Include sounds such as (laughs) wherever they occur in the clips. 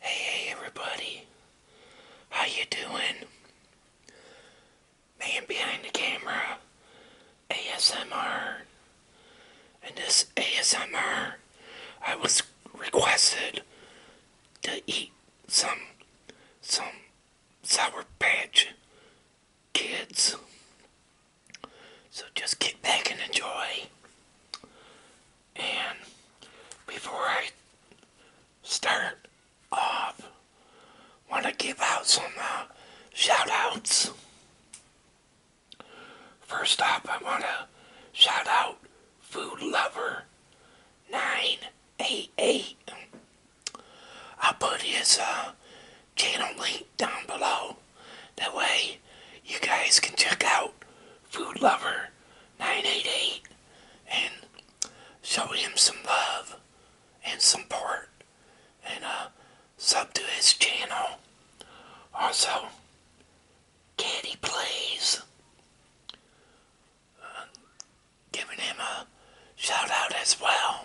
Hey everybody, how you doing? Man behind the camera, ASMR. And this ASMR, I was requested to eat some, some Sour Patch Kids. So just get back and enjoy. And before I start off, want to give out some uh, shoutouts. First up, I want to shout out Food Lover 988. I'll put his uh, channel link down below that way, you guys can check out Food Lover 988 and show him some love and support and uh, sub to his channel. Also, Caddy Plays. Uh, giving him a shout out as well.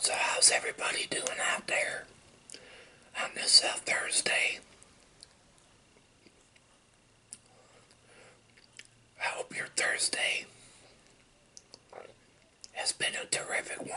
So how's everybody doing out there on this Thursday? I hope your Thursday has been a terrific one.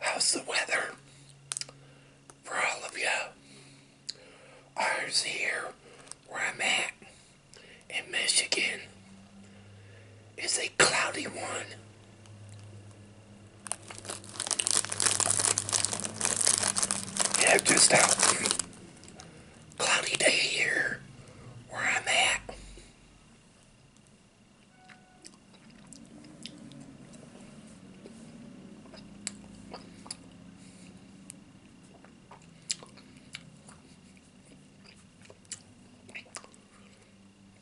How's the weather for all of you? Ours here, where I'm at in Michigan, is a cloudy one yeah, just a cloudy day here where I'm at.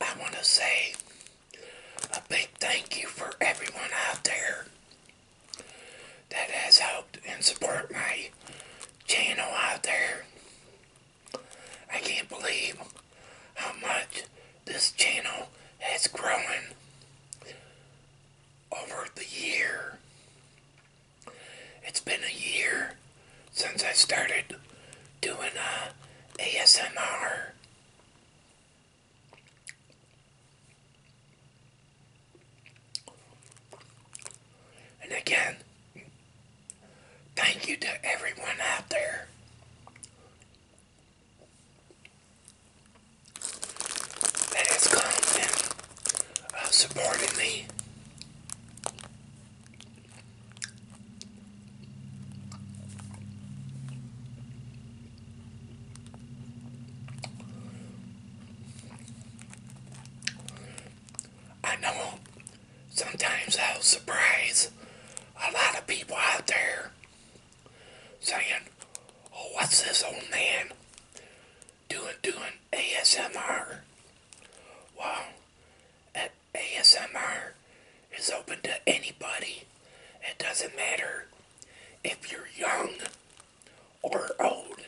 I want to say a big thank you for everyone out there that has helped and support my channel out there. I can't believe how much this channel has grown over the year. It's been a year since I started doing uh, ASMR. And again, thank you to everyone out there that has come and uh, me. I know sometimes I'll surprise a lot of people out there saying, Oh, what's this old man doing doing ASMR? Well, ASMR is open to anybody. It doesn't matter if you're young or old.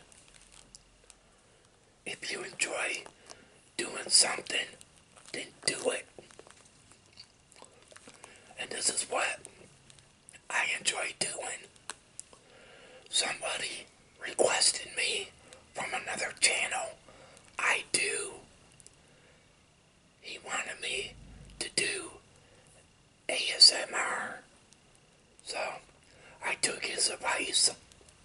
If you enjoy doing something, then do it. And this is what I enjoy doing. Somebody requested me from another channel. I do. He wanted me to do ASMR. So I took his advice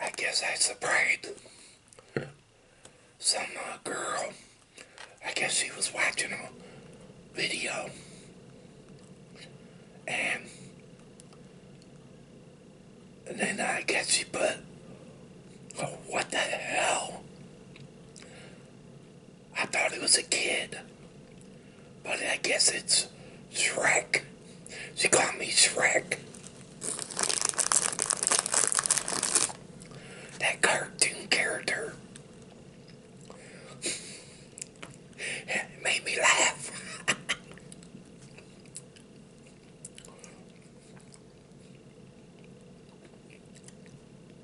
I guess that's the parade. Some uh, girl, I guess she was watching a video, and, and then I guess she put, oh, what the hell? I thought it was a kid. But I guess it's Shrek. She called me Shrek. That cartoon character. it (laughs) made me laugh. (laughs)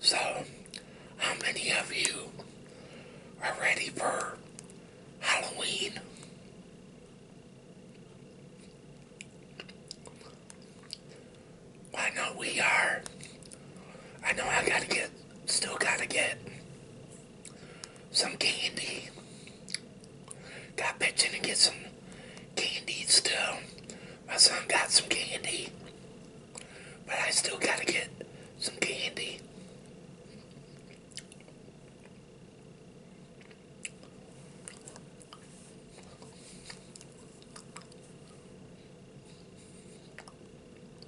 So, how many of you are ready for Halloween? I know we are. I know I gotta get Still gotta get some candy. Got pitching to get some candy still. My son got some candy. But I still gotta get some candy.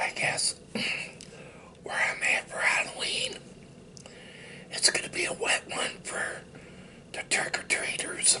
I guess (clears throat) where i Halloween, it's going to be a wet one for the trick or treaters.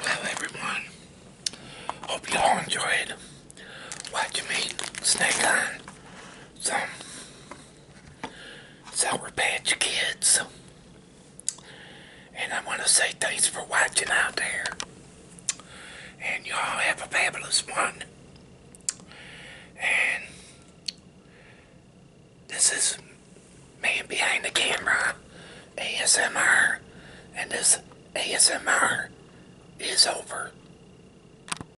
Hello everyone. Hope you all enjoyed watching me snake on some we Sour Patch Kids. And I want to say thanks for watching out there. And y'all have a fabulous one. And this is Man Behind the Camera ASMR. And this ASMR is over.